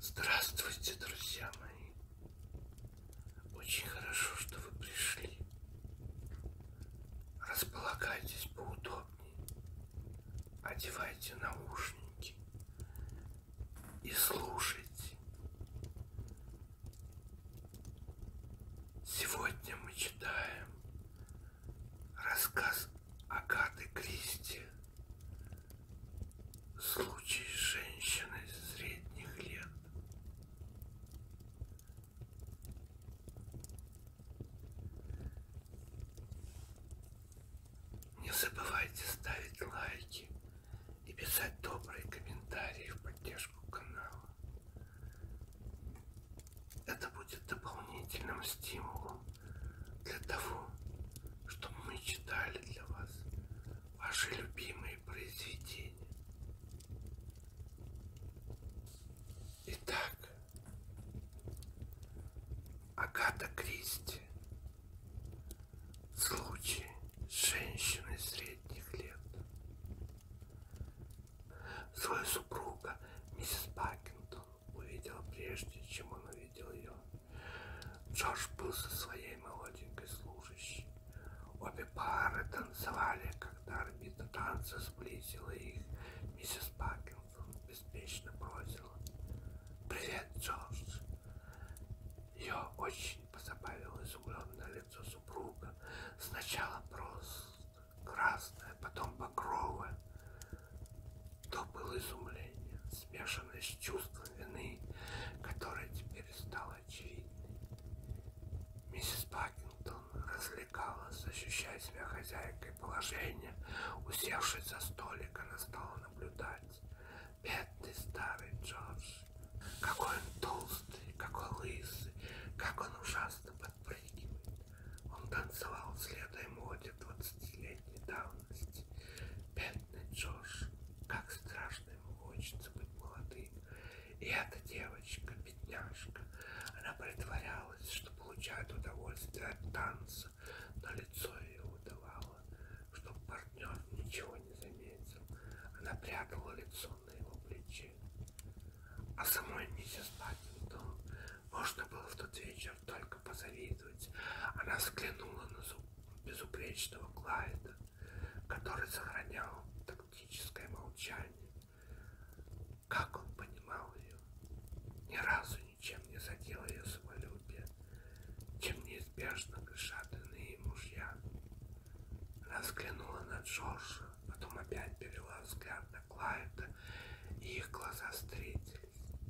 Здравствуйте, друзья мои! Очень хорошо, что вы пришли. Располагайтесь поудобнее. Одевайте наушники и слушайте. Сегодня мы читаем рассказ Агаты Кристи Случай женщины средних лет. Не забывайте ставить лайки и писать добрые комментарии в поддержку канала. Это будет дополнительным стимулом для того, чтобы мы читали для вас ваши любимые произведения. Итак, Агата Кристи. Случай женщины средних лет. Свою супруга миссис Пакинтон увидела прежде, чем он увидел ее. Джордж был со своей молоденькой служащей. Обе пары танцевали, когда орбита танца сблизила их. Миссис Паркинсон беспечно бросила. «Привет, Джордж!» Ее очень позабавило изумленное лицо супруга. Сначала просто красное, потом багровое. То было изумление, смешанное с чувством вины, которое теперь стало очевидным. Миссис Пакингтон развлекалась, ощущая себя хозяйкой положения. Усевшись за столик, она стала наблюдать. Бедный старый Джордж. Какой он толстый, какой лысый, как он ужасно подпрыгивает. Он танцевал, следуя моде 20 лет пятилетней давности. Бедный Джош, как страшно ему хочется быть молодым. И эта девочка, бедняжка, она притворялась, что получает удовольствие от танца, но лицо ее удавало, чтобы партнер ничего не заметил. Она прятала лицо на его плече. А самой миссис Паттингтон можно было в тот вечер чем только позавидовать. Она взглянула на безупречного Клайда, который сохранял тактическое молчание. Как он понимал ее, ни разу ничем не задел ее самолюбие, чем неизбежно грешат иные мужья. Она взглянула на Джорджа, потом опять перевела взгляд на Клайда, и их глаза встретились.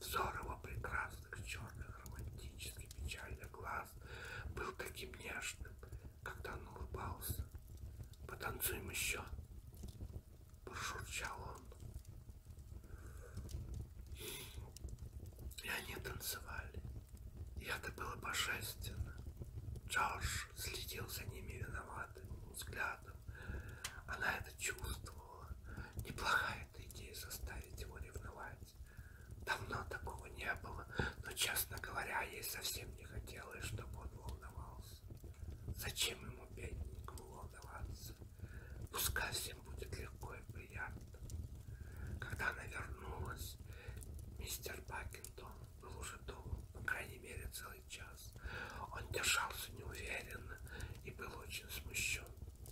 Взор его прекрасных, черных, романтически печальных глаз был таким нежным, когда он улыбался. «Потанцуем еще!» – прошурчал он. И они танцевали. И это было божественно. Джордж следил за ними виноватым взглядом. Она это чувствовала подумала, неплохая эта идея заставить его ревновать. Давно такого не было, но, честно говоря, ей совсем не хотелось, чтобы он волновался. Зачем ему, бедненькому, волноваться? Пускай всем будет легко и приятно. Когда она вернулась, мистер Бакингтон был уже дома, по крайней мере, целый час. Он держался неуверенно и был очень смущен.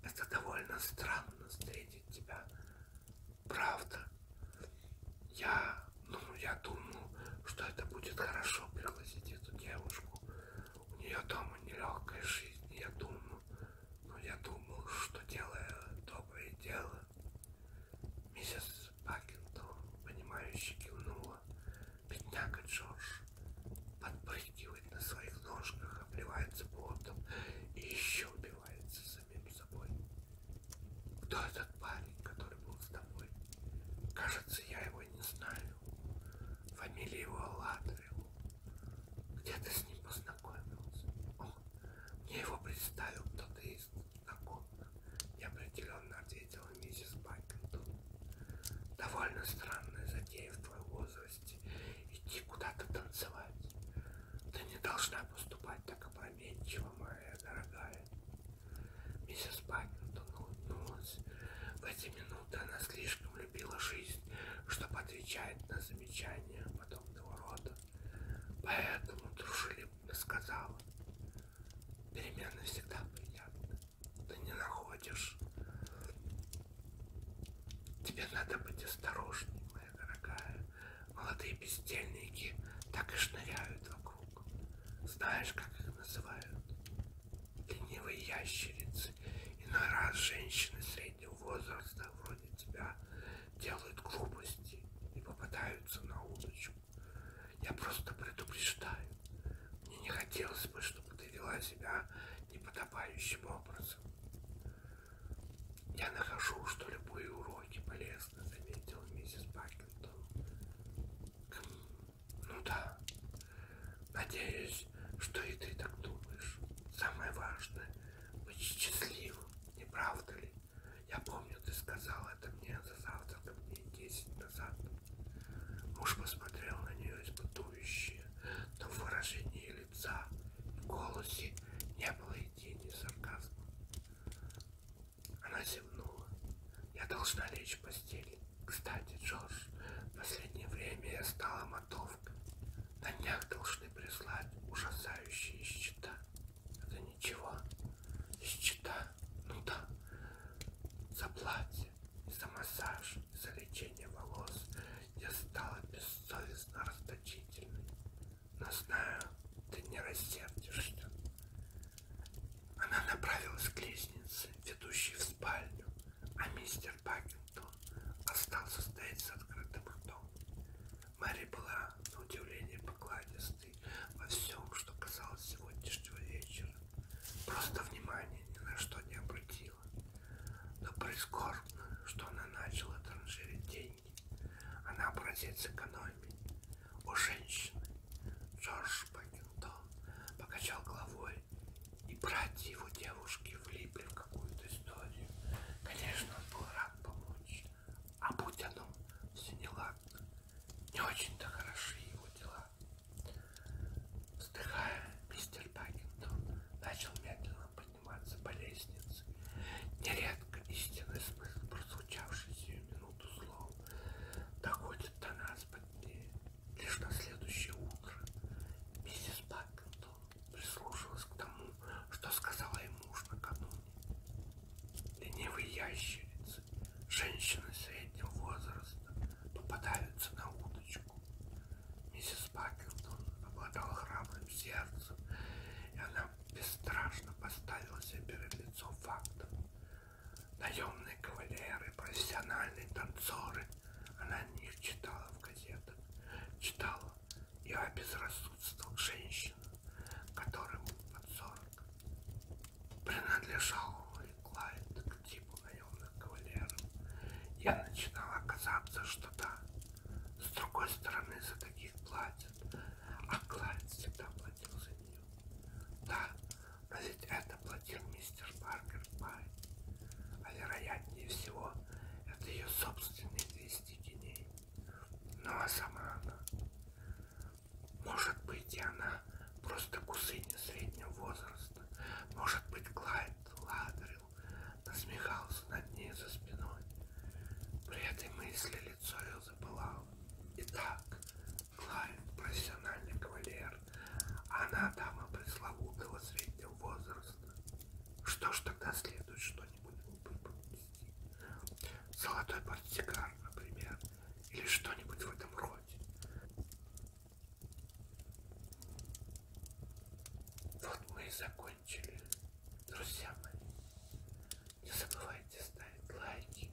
это довольно странно встретить тебя. Правда. Я, ну, я думал, что это будет хорошо пригласить эту девушку. У нее дома нелегкая жизнь, я думал. Но я думал, что делая доброе дело, миссис Пакинтон, понимающе кивнула. Бедняга Джордж подпрыгивал подпрыгивает на своих ножках, обливается потом и еще убивается самим собой. Кто этот парень, который был с тобой? Кажется, я его не знаю. Фамилия его Ладрил. Где ты с ним познакомился? О, мне его представил кто-то из знакомых. Неопределенно ответила миссис Бакингтон. Довольно странная затея в твой возраст наглость идти куда-то танцевать. Ты не должна поступать так опрометчиво, моя дорогая. Миссис Паттингтон улыбнулась. В эти минуты она слишком любила жизнь, чтобы отвечать на замечания подобного рода. Поэтому дружелюбно сказала. Перемены всегда приятны. Ты не находишь? Тебе надо быть осторожней, моя дорогая. Молодые бездельники так и шныряют вокруг. Знаешь, как их называют? Ленивые ящерицы. Иной раз женщины среднего возраста вроде тебя делают глупости и попадаются на удочку. Я просто предупреждаю. Мне не хотелось бы, чтобы ты вела себя неподобающим образом. Я нахожу, что любые уроки полезны, заметил миссис Бакинтон. Ну да. Надеюсь, что и ты так думаешь. Самое важное — быть счастливым, не правда ли? Я помню, ты сказал это мне за завтраком дней десять назад. Муж посмотрел на нее испытующе, но в выражении лица голосе не было и тени сарказма. Она зевнула. Я должна лечь в постель. Кстати, Джордж, в последнее время я стала мотовкой. На днях должны прислать ужасающие счета. Это ничего. Счета, ну да, за платье и за массаж за лечение волос я стала бессовестно расточительной. Но знаю, ты не рассердишься. Она направилась к лестнице, ведущей в спальню, а мистер Пакингтон остался стоять с открытым ртом. Мэри была, на удивление, покладистой во всем, что касалось сегодняшнего вечера. Просто внимание ни на что не обратила платила. Но прискорбно, что она начала транжирить деньги. Она образец экономии. У женщины Джордж Пакингтон покачал головой, и братья его девушки влипли в какую-то историю. Конечно, он был рад помочь, а будь оно все неладно, не очень-то хороши его дела. Вздыхая, мистер Пакингтон начал медленно подниматься по лестнице. Нередко истинный смысл прозвучавший сию минуту слов доходит до нас позднее. Лишь на следующее утро миссис Пакингтон прислушалась к тому, что сказала ей муж накануне. Ленивый ящерица, женщина среднего возраста, попадаются на удочку. Миссис Пакингтон обладала храбрым сердцем, и она бесстрашно поставила себе перед лицом фактов. Наемные кавалеры, профессиональные танцоры. Она о них читала в газетах. Читала и о безрассудствах женщин, которым под сорок принадлежал Клайд к типу наемных кавалеров, я начинала казаться, что да, с другой стороны за таких платят, а Клайд всегда платил за нее. Да, но ведь это платил мистер Паркер Пай, а вероятнее всего это ее собственные 200 геней. Ну а сама она... Может быть, и она просто кусыня среднего возраста. Может быть, Клайд Ладрил насмехался над ней за спиной. При этой мысли лицо ее запылало. Итак, Клайн, профессиональный кавалер, она дама пресловутого среднего возраста. Что ж тогда следует что-нибудь выпустить? Золотой портсигар, например, или что-нибудь в этом роде. Вот мы и закончили, друзья мои. Не забывайте ставить лайки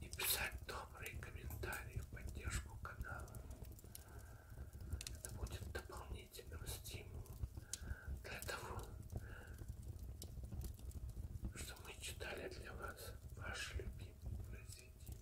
и писать добрые комментарии в поддержку канала. Это будет дополнительным стимулом для того, что мы читали для вас ваши любимые произведения.